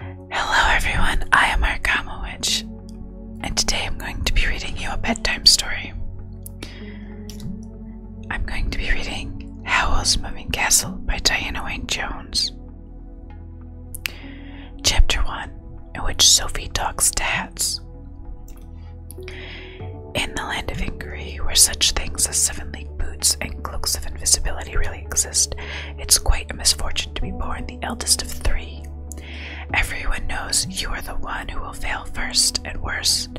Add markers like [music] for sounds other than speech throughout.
Hello everyone, I am Arkama and today I'm going to be reading you a bedtime story. I'm going to be reading Howl's Moving Castle by Diana Wayne Jones. Chapter 1 In which Sophie talks to hats. In the land of Inquiry, where such things as seven league boots and cloaks of invisibility really exist, it's quite a misfortune to be born the eldest of three. Everyone knows you are the one who will fail first and worst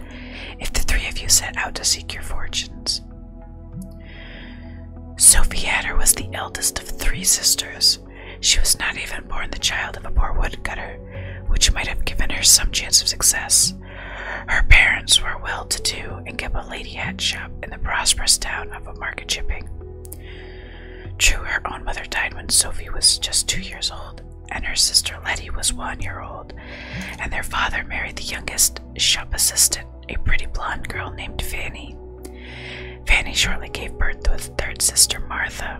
if the three of you set out to seek your fortunes. Sophie Adder was the eldest of three sisters. She was not even born the child of a poor woodcutter, which might have given her some chance of success. Her parents were well to do and kept a lady hat shop in the prosperous town of Market Chipping. True, her own mother died when Sophie was just two years old, and her sister Letty was one year old, and their father married the youngest shop assistant, a pretty blonde girl named Fanny. Fanny shortly gave birth to a third sister, Martha.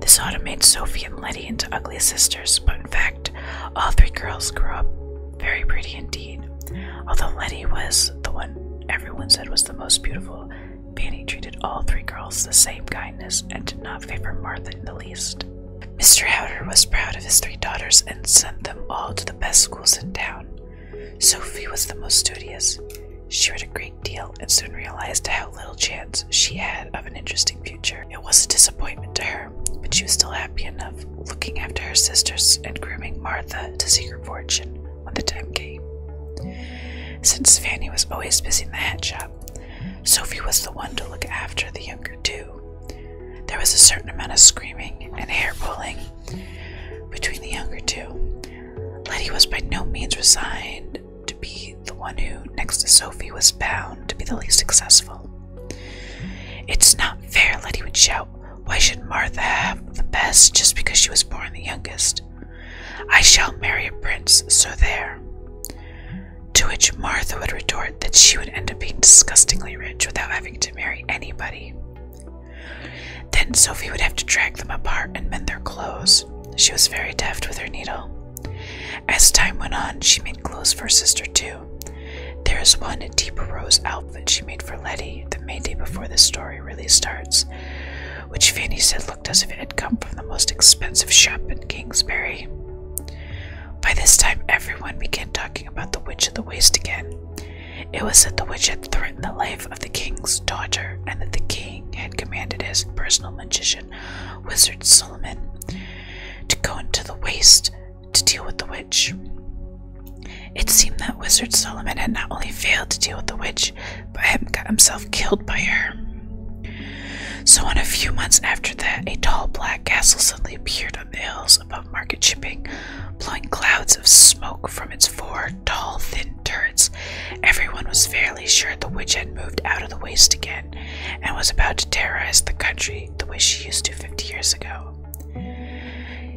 This autumn made Sophie and Letty into ugly sisters, but in fact, all three girls grew up very pretty indeed. Although Letty was the one everyone said was the most beautiful, Fanny treated all three girls the same kindness and did not favor Martha in the least. Mr. Howder was proud of his three daughters and sent them all to the best schools in town. Sophie was the most studious. She read a great deal and soon realized how little chance she had of an interesting future. It was a disappointment to her, but she was still happy enough looking after her sisters and grooming Martha to seek her fortune when the time came. Since Fanny was always busy in the hat shop, Sophie was the one to look after the younger two. There was a certain amount of screaming and hair pulling between the younger two. Letty was by no means resigned to be the one who, next to Sophie, was bound to be the least successful. It's not fair, Letty would shout. Why should Martha have the best just because she was born the youngest? I shall marry a prince, so there. To which Martha would retort that she would end up being disgustingly rich without having to marry anybody. Then Sophie would have to drag them apart and mend their clothes. She was very deft with her needle. As time went on, she made clothes for her sister too. There is one Deep Rose that she made for Letty the day before the story really starts, which Fanny said looked as if it had come from the most expensive shop in Kingsbury. By this time, everyone began talking about the Witch of the Waste again. It was said the witch had threatened the life of the king's daughter, and that the king had commanded his personal magician, Wizard Solomon, to go into the waste to deal with the witch. It seemed that Wizard Solomon had not only failed to deal with the witch, but had got himself killed by her. So, in a few months after that, a tall black castle suddenly appeared on the hills above Market Shipping, blowing clouds of smoke from its four tall, thin turrets. Everyone was fairly sure the witch had moved out of the waste again and was about to terrorize the country the way she used to fifty years ago.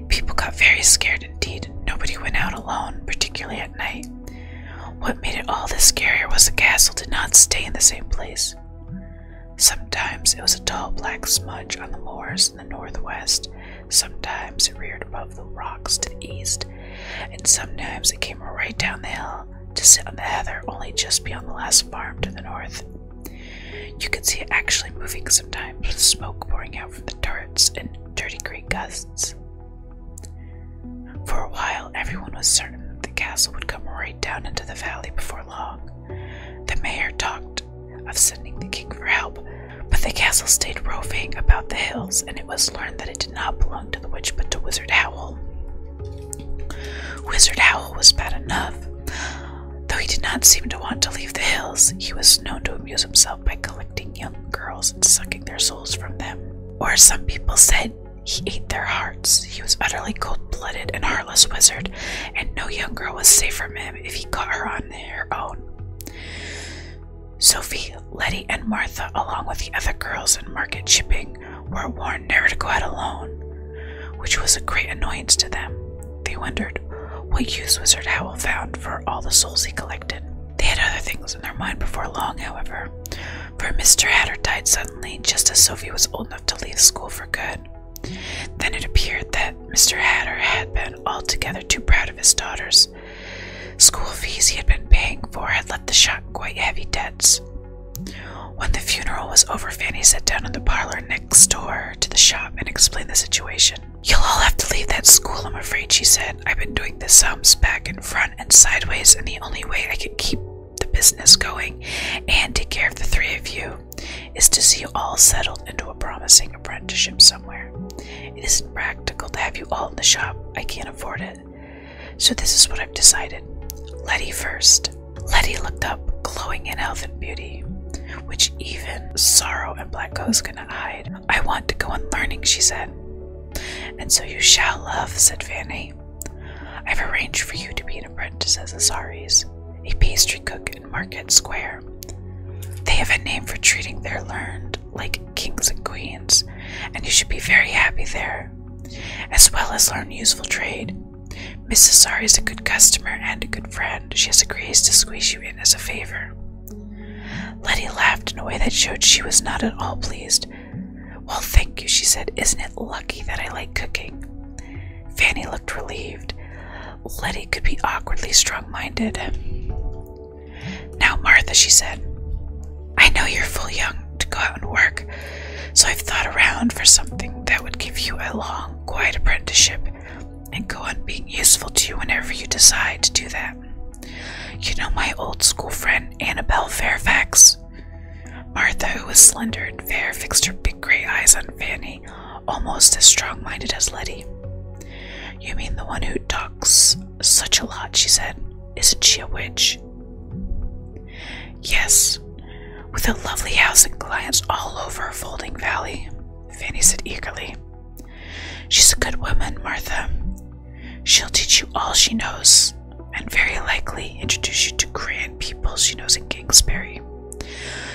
People got very scared indeed. Nobody went out alone, particularly at night. What made it all the scarier was the castle did not stay in the same place. Sometimes it was a tall black smudge on the moors in the northwest, sometimes it reared above the rocks to the east, and sometimes it came right down the hill to sit on the heather only just beyond the last farm to the north. You could see it actually moving sometimes, with smoke pouring out from the turrets and dirty gray gusts. For a while, everyone was certain that the castle would come right down into the valley before long. The mayor talked of sending the king for help, but the castle stayed roving about the hills, and it was learned that it did not belong to the witch but to Wizard Howl. Wizard Howl was bad enough, Though he did not seem to want to leave the hills, he was known to amuse himself by collecting young girls and sucking their souls from them. Or, as some people said, he ate their hearts. He was utterly cold blooded and heartless wizard, and no young girl was safe from him if he caught her on her own. Sophie, Letty, and Martha, along with the other girls in market shipping, were warned never to go out alone, which was a great annoyance to them. They wondered what use Wizard Howell found for all the souls he collected. They had other things in their mind before long, however, for Mr. Hatter died suddenly just as Sophie was old enough to leave school for good. Then it appeared that Mr. Hatter had been altogether too proud of his daughters. School fees he had been paying for had left the shop quite heavy debts. When the funeral was over, Fanny sat down in the parlor next door to the shop and explained the situation. You'll all have to leave that school, I'm afraid, she said. I've been doing the sums back and front and sideways, and the only way I can keep the business going and take care of the three of you is to see you all settled into a promising apprenticeship somewhere. It isn't practical to have you all in the shop. I can't afford it. So this is what I've decided. Letty first. Letty looked up, glowing in health and beauty which even sorrow and black ghosts could not hide. I want to go and learning, she said. And so you shall love, said Fanny. I've arranged for you to be an apprentice as Azaris, a pastry cook in Market Square. They have a name for treating their learned like kings and queens, and you should be very happy there, as well as learn useful trade. Mrs. Sari is a good customer and a good friend. She has agreed to squeeze you in as a favor. Letty laughed in a way that showed she was not at all pleased. Well, thank you, she said. Isn't it lucky that I like cooking? Fanny looked relieved. Letty could be awkwardly strong minded. Now, Martha, she said, I know you're full young to go out and work, so I've thought around for something that would give you a long, quiet apprenticeship and go on being useful to you whenever you decide to do that. You know my old school friend Annabelle Fairfax? Martha, who was slender and fair, fixed her big gray eyes on Fanny, almost as strong minded as Letty. You mean the one who talks such a lot, she said. Isn't she a witch? Yes, with a lovely house and clients all over Folding Valley. Fanny said eagerly. She's a good woman, Martha. She'll teach you all she knows, and very likely introduce you to grand people she knows in Kingsbury.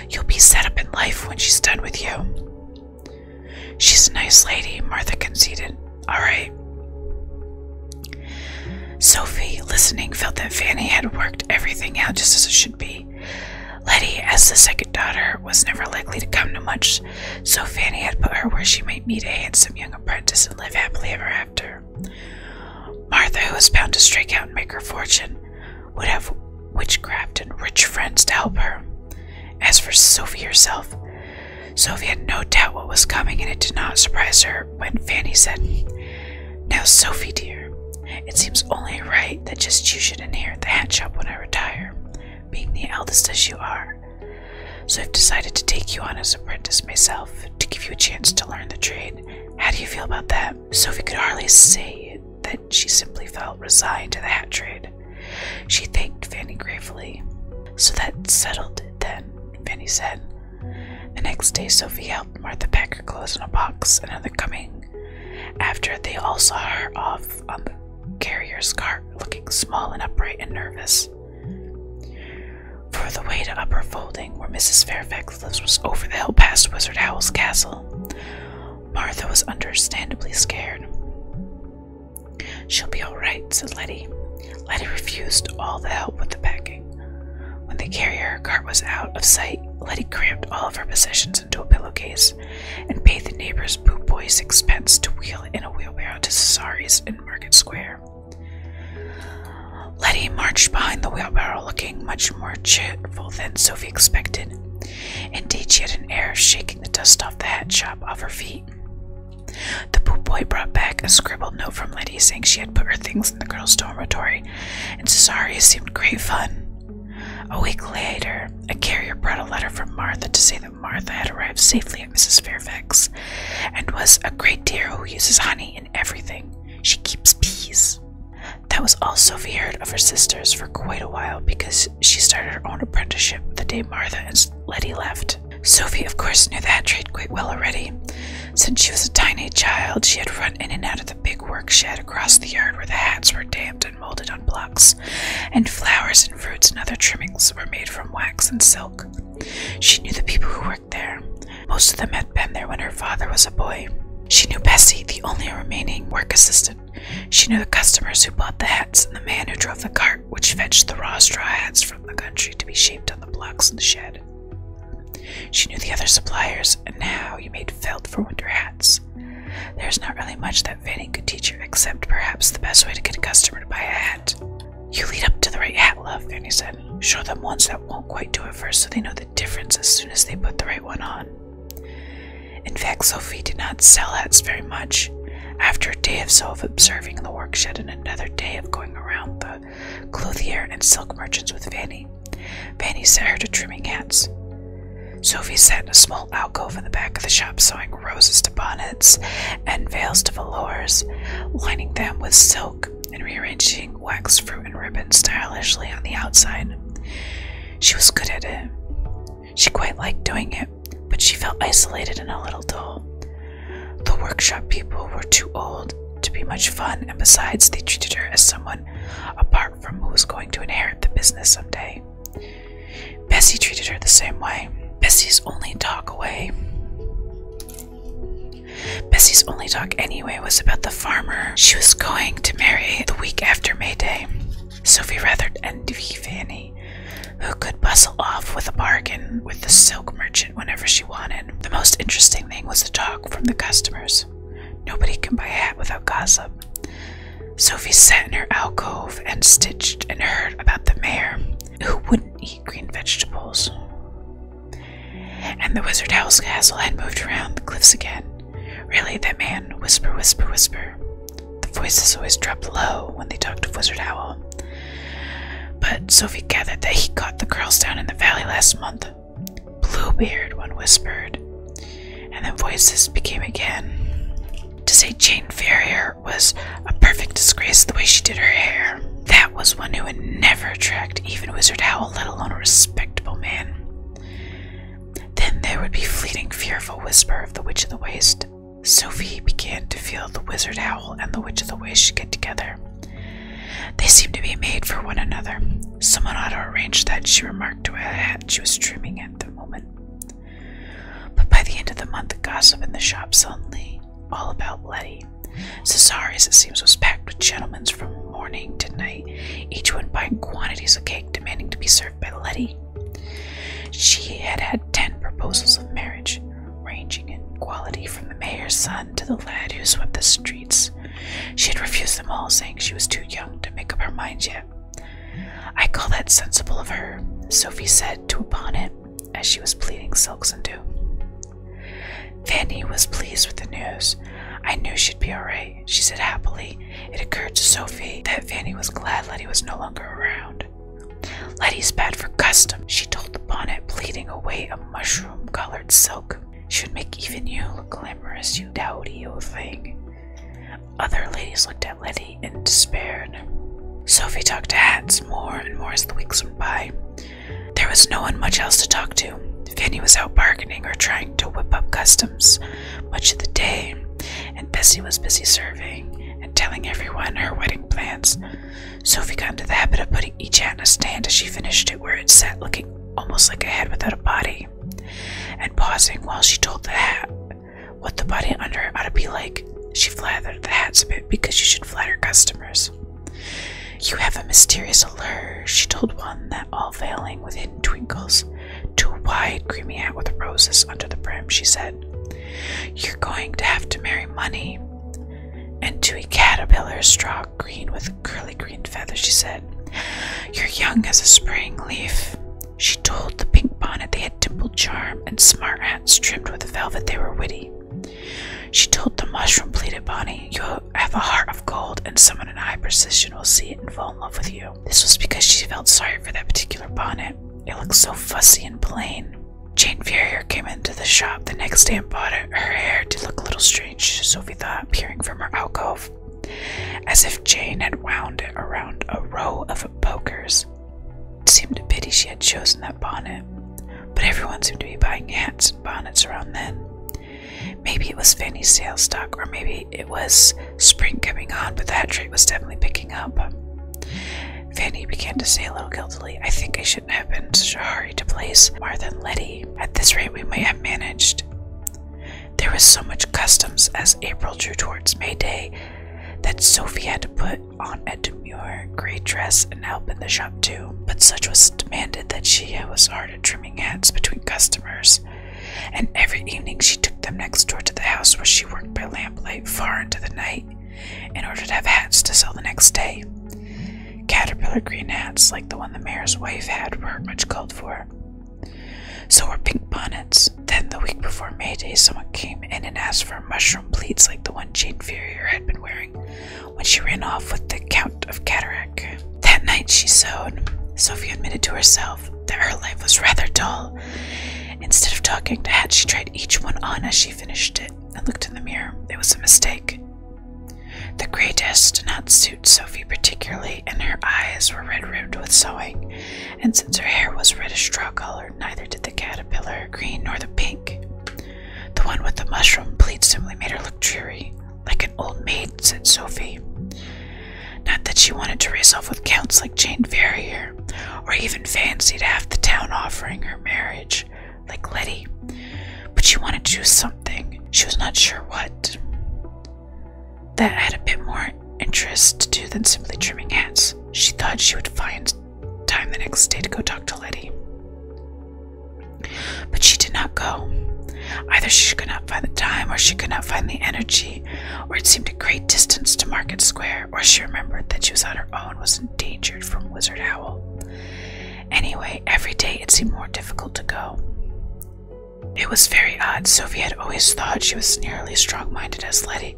You'll be set up in life when she's done with you. She's a nice lady, Martha conceded. All right. Sophie, listening, felt that Fanny had worked everything out just as be. Letty, as the second daughter, was never likely to come to much, so Fanny had put her where she might meet a handsome young apprentice and live happily ever after. Martha, who was bound to strike out and make her fortune, would have witchcraft and rich friends to help her. As for Sophie herself, Sophie had no doubt what was coming, and it did not surprise her when Fanny said, Now, Sophie, dear, it seems only right that just you should inherit the hat shop when I retire, being the eldest as you are. So I've decided to take you on as apprentice myself to give you a chance to learn the trade. How do you feel about that? Sophie could hardly say that she simply felt resigned to the hat trade. She thanked Fanny gratefully. So that settled then, Fanny said. The next day, Sophie helped Martha pack her clothes in a box, and on coming after they all saw her off on the carrier's cart, looking small and upright and nervous. For the way to Upper Folding, where Mrs. Fairfax lives, was over the hill past Wizard Howell's castle. Martha was understandably scared. She'll be all right, said Letty. Letty refused all the help with the packing. When the carrier cart was out of sight, Letty crammed all of her possessions into a pillowcase, and paid the neighbor's boot boy sixpence to wheel in a wheelbarrow to Cesare's in Market Square. Letty marched behind the wheelbarrow looking much more cheerful than Sophie expected. Indeed, she had an air of shaking the dust off the hat shop off her feet. The boot boy brought back a scribbled note from Letty saying she had put her things in the girls' dormitory, and Cesare seemed great fun. A week later, a carrier brought a letter from Martha to say that Martha had arrived safely at Mrs. Fairfax and was a great dear who uses honey in everything. She keeps bees. That was all Sophie heard of her sisters for quite a while because she started her own apprenticeship the day Martha and Letty left. Sophie, of course, knew that trade quite well already. Since she was a tiny child, she had run in and out of of the big work shed across the yard where the hats were damped and molded on blocks, and flowers and fruits and other trimmings were made from wax and silk. She knew the people who worked there. Most of them had been there when her father was a boy. She knew Bessie, the only remaining work assistant. She knew the customers who bought the hats and the man who drove the cart which fetched the raw straw hats from the country to be shaped on the blocks in the shed. She knew the other suppliers and now you made felt for winter hats. There's not really much that Fanny could teach you except perhaps the best way to get a customer to buy a hat. You lead up to the right hat, love, Fanny said. Show them ones that won't quite do it first so they know the difference as soon as they put the right one on. In fact, Sophie did not sell hats very much. After a day or so of observing the workshop and another day of going around the clothier and silk merchants with Fanny, Fanny. set her to trimming hats. Sophie sat in a small alcove in the back of the shop sewing roses to bonnets and veils to velours, lining them with silk and rearranging wax fruit and ribbons stylishly on the outside. She was good at it. She quite liked doing it, but she felt isolated and a little dull. The workshop people were too old to be much fun, and besides, they treated her as someone apart from who was going to inherit the business someday. Bessie treated her the same way. Bessie's only talk away. Bessie's only talk anyway was about the farmer she was going to marry the week after May Day. Sophie rather envied Fanny, who could bustle off with a bargain with the silk merchant whenever she wanted. The most interesting thing was the talk from the customers. Nobody can buy a hat without gossip. Sophie sat in her alcove and stitched and heard about the mayor, who wouldn't eat green vegetables. And the wizard Owl's castle had moved around the cliffs again. Really, that man, whisper, whisper, whisper. The voices always dropped low when they talked of Wizard Owl. But Sophie gathered that he caught the girls down in the valley last month. Bluebeard, one whispered, and then voices became again. To say Jane Ferrier was a perfect disgrace the way she did her hair. That was one who would never attract even Wizard Howl, let alone a respectable man. Then there would be fleeting, fearful whisper of the Witch of the Waste. Sophie began to feel the Wizard Howl and the Witch of the Waste should get together. They seemed to be made for one another. Someone ought to arrange that, she remarked to a hat she was trimming at the moment. But by the end of the month, the gossip in the shop suddenly all about Letty. Cesare's, it seems, was packed with gentlemen from morning to night, each one buying quantities of cake demanding to be served by Letty. She had had ten proposals of marriage, ranging in quality from the mayor's son to the lad who swept the street. She had refused them all, saying she was too young to make up her mind yet. I call that sensible of her, Sophie said to a bonnet as she was pleating silks and dew. Fanny was pleased with the news. I knew she'd be all right, she said happily. It occurred to Sophie that Fanny was glad Letty was no longer around. Letty's bad for custom, she told the bonnet, pleating away a mushroom colored silk. Should make even you look glamorous, you dowdy old thing. Other ladies looked at Letty in despair. Sophie talked to Hats more and more as the weeks went by. There was no one much else to talk to. Fanny was out bargaining or trying to whip up customs much of the day, and Bessie was busy serving and telling everyone her wedding plans. Sophie got into the habit of putting each hat in a stand as she finished it where it sat looking almost like a head without a body, and pausing while she told the hat what the body under it ought to be like, she flattered the hat a bit because you should flatter customers. You have a mysterious allure, she told one that all veiling with hidden twinkles to a wide creamy hat with roses under the brim, she said. You're going to have to marry money. And to a caterpillar straw green with curly green green she said. You're young as a spring leaf. She told the pink bonnet they had dimpled charm and smart hats trimmed with velvet they were witty. She told the mushroom pleated bonnet, You have a heart of gold, and someone in high position will see it and fall in love with you. This was because she felt sorry for that particular bonnet. It looked so fussy and plain. Jane Ferrier came into the shop the next day and bought it. Her hair did look a little strange strange, Sophie thought, peering from her alcove, as if Jane had wound it around a row of pokers. It seemed a pity she had chosen that bonnet, but everyone seemed to be buying hats and bonnets around then. Maybe it was Fanny's sales stock, or maybe it was spring coming on, but the hat trade was definitely picking up. Fanny began to say a little guiltily, I think I shouldn't have been in such a hurry to place Martha Letty at this rate, we might have managed. There was so much customs as April drew towards May Day that Sophie had to put on a demure gray dress and help in the shop too. But such was demanded that she was hard at trimming hats between customers, and every evening she took them next door to the house where she worked by lamplight far into the night in order to have hats to sell the next day. Caterpillar green hats, like the one the mayor's wife had, weren't much called for. So were pink bonnets. Then, the week before May Day, someone came in and asked for mushroom pleats like the one Jane Ferrier had been wearing when she ran off with the Count of Cataract. That night she sewed. Sophie admitted to herself that her life was rather dull. Instead of talking to Hat, she tried each one on as she finished it and looked in the mirror. It was a mistake. The gray dress did not suit Sophie particularly, and her eyes were red rimmed with sewing, and since her hair was reddish straw color, neither did the caterpillar green nor the pink. The one with the mushroom pleats simply made her look dreary. Like an old maid, said Sophie. Not that she wanted to race off with counts like Jane Ferrier, or even fancied half the town offering her marriage, like Letty, but she wanted to do something. She was not sure what. That had a bit more interest to do than simply trimming hats. She thought she would find time the next day to go talk to Letty. But she did not go. Either she could not find the time, or she could not find the energy, or it seemed a great distance to Market Square, or she remembered that she was on her own, was endangered from Wizard Owl. Anyway, every day it seemed more difficult to go. It was very odd. Sophie had always thought she was nearly strong minded as Letty,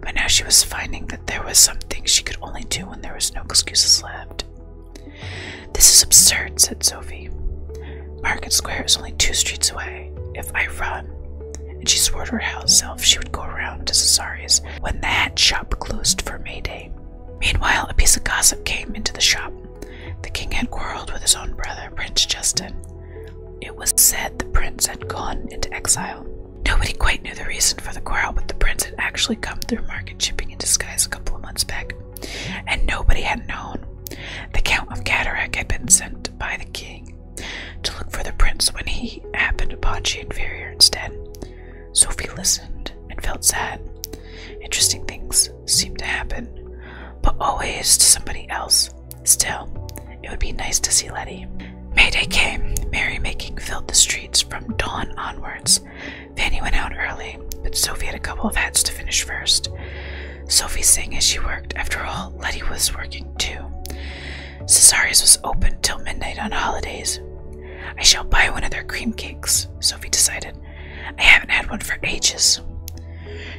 but now she was finding that there was something she could only do when there was no excuses left. This is absurd, said Sophie. Market Square is only two streets away. If I run, and she swore to herself she would go round to Cesare's when that hat shop closed for May Day. Meanwhile, a piece of gossip came into the shop. The king had quarreled with his own brother, Prince Justin. It was said the prince had gone into exile. Nobody quite knew the reason for the quarrel, but the prince had actually come through market shipping in disguise a couple of months back, and nobody had known. The Count of Cataract had been sent by the king to look for the prince when he happened upon She Inferior instead. Sophie listened and felt sad. Interesting things seemed to happen, but always to somebody else. Still, it would be nice to see Letty. Mayday came. Merrymaking filled the streets from dawn onwards. Fanny went out early, but Sophie had a couple of hats to finish first. Sophie sang as she worked. After all, Letty was working too. Cesare's was open till midnight on holidays. I shall buy one of their cream cakes, Sophie decided. I haven't had one for ages.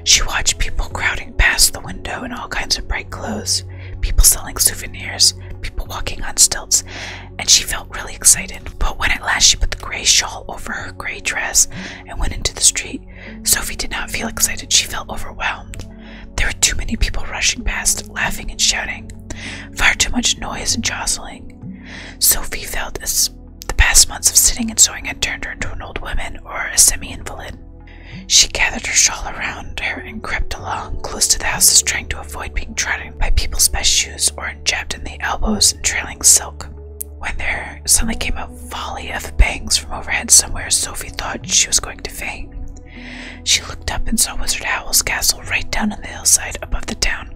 She watched people crowding past the window in all kinds of bright clothes, people selling souvenirs, people walking on stilts, and she felt really excited. But when at last she put the gray shawl over her gray dress and went into the street, Sophie did not feel excited. She felt overwhelmed. There were too many people rushing past, laughing and shouting, far too much noise and jostling. Sophie felt as the past months of sitting and sewing had turned her into an old woman or a semi invalid. She gathered her shawl around her and crept along close to the houses, trying to avoid being trodden by people's best shoes or jabbed in the elbows and trailing silk. When there suddenly came a volley of bangs from overhead somewhere, Sophie thought she was going to faint. She looked up and saw Wizard Howell's castle right down on the hillside above the town.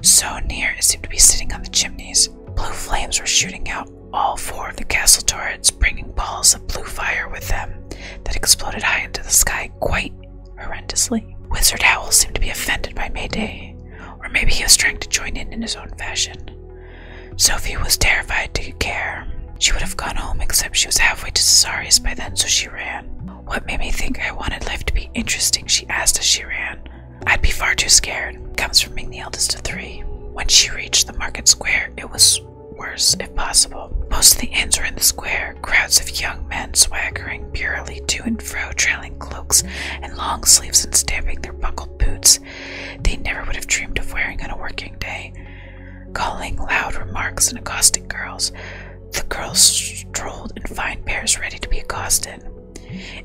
So near it seemed to be sitting on the chimneys. Blue flames were shooting out all four of the castle turrets, bringing balls of blue fire with them that exploded high into the sky quite horrendously. Wizard Owl seemed to be offended by Mayday, or maybe he was trying to join in in his own fashion. Sophie was terrified to care. She would have gone home, except she was halfway to Cesareus by then, so she ran. What made me think I wanted life to be interesting? She asked as she ran. I'd be far too scared. Comes from being the eldest of three. When she reached the market square, it was worse if possible. Most of the inns were in the square, crowds of young men swaggering purely to and fro, trailing cloaks and long sleeves and stamping their buckled boots they never would have dreamed of wearing on a working day, calling loud remarks and accosting girls. The girls strolled in fine pairs ready to be accosted.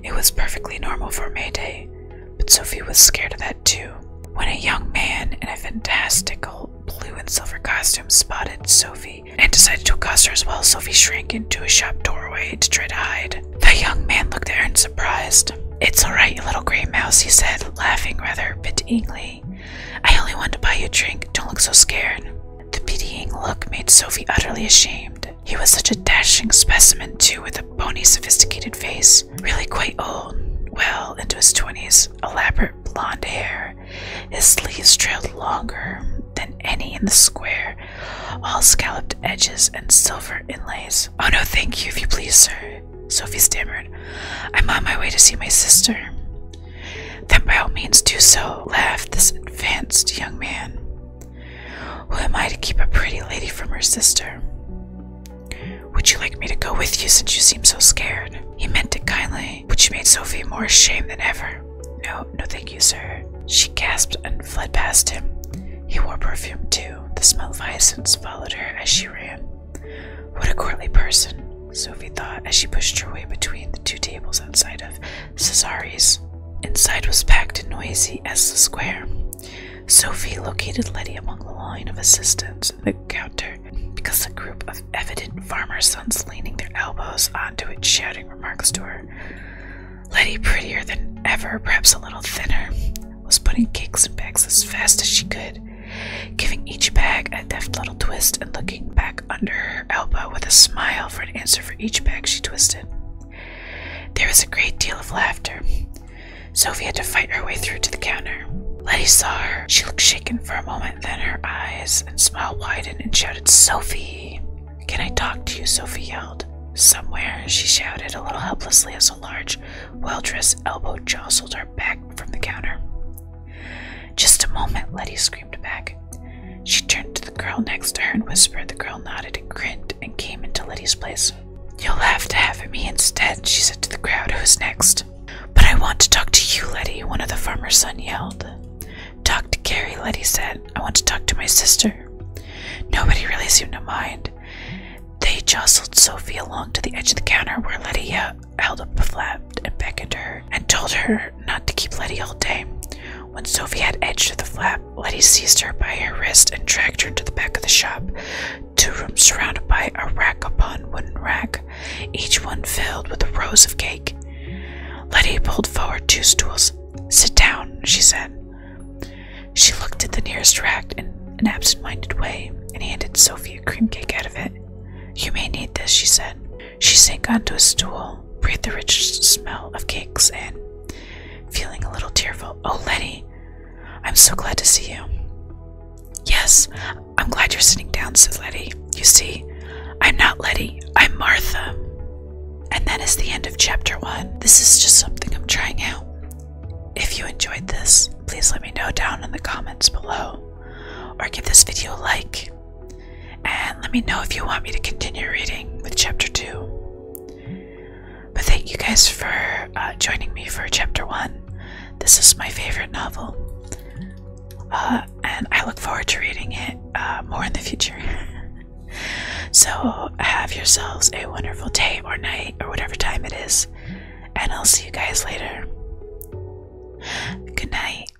It was perfectly normal for May Day, but Sophie was scared of that too. When a young man in a fantastical blue and silver costume spotted Sophie and decided to accost her as well, Sophie shrank into a shop doorway to try to hide. The young man looked at her in surprise. It's alright, you little gray mouse, he said, laughing rather pityingly. I only wanted to buy you a drink. Don't look so scared. The pitying look made Sophie utterly ashamed. He was such a dashing specimen, too, with a bony, sophisticated face, really quite old, well into his twenties, elaborate blonde hair. His sleeves trailed longer than any in the square, all scalloped edges and silver inlays. Oh no, thank you, if you please, sir, Sophie stammered. I'm on my way to see my sister. Then by all means do so, laughed this advanced young man. Who am I to keep a pretty lady from her sister? Would you like me to go with you since you seem so scared? He meant it kindly, but she made Sophie more ashamed than ever. No, no, thank you, sir. She gasped and fled past him. He wore perfume too. The smell of hyacinths followed her as she ran. What a courtly person, Sophie thought as she pushed her way between the two tables outside of Cesare's. Inside was packed and noisy as the square. Sophie located Letty among the line of assistants at the counter because a group of evident farmer sons leaning their elbows onto it shouting remarks to her. Letty, prettier than ever, perhaps a little thinner, was putting cakes in bags as fast as she could, giving each bag a deft little twist and looking back under her elbow with a smile for answer for each bag she twisted. There was a great deal of laughter. Sophie had to fight her way through to the counter. Letty saw her. She looked shaken for a moment, then her eyes and smile widened and shouted, Sophie! Can I talk to you? Sophie yelled. Somewhere, she shouted a little helplessly as a large, well dressed elbow jostled her back from the counter. Just a moment, Letty screamed back. She turned to the girl next to her and whispered. The girl nodded and grinned and came into Letty's place. You'll have to have me instead, she said to the crowd who was next. But I want to talk to you, Letty, one of the farmer's son yelled. Talk to Gary, Letty said. I want to talk to my sister. Nobody really seemed to mind. They jostled Sophie along to the edge of the counter where Letty uh, held up a flap and beckoned her and told her not to keep Letty all day. When Sophie had edged to the flap, Letty seized her by her wrist and dragged her into the back of the shop, two rooms surrounded by a rack upon wooden rack, each one filled with rows of cake. Letty pulled forward two stools. Sit down, she said. She looked at the nearest rack in an absent minded way and handed Sophie a cream cake out of it. You may need this, she said. She sank onto a stool, breathed the rich smell of cakes, and, feeling a little tearful, Oh, Letty, I'm so glad to see you. Yes, I'm glad you're sitting down, said Letty. You see, I'm not Letty, I'm Martha. And that is the end of chapter one. This is just something I'm trying out. If you enjoyed this, please let me know down in the comments below or give this video a like. And let me know if you want me to continue reading with chapter 2. But thank you guys for uh, joining me for chapter 1. This is my favorite novel. Uh, and I look forward to reading it uh, more in the future. [laughs] so, have yourselves a wonderful day or night or whatever time it is. And I'll see you guys later. Good night.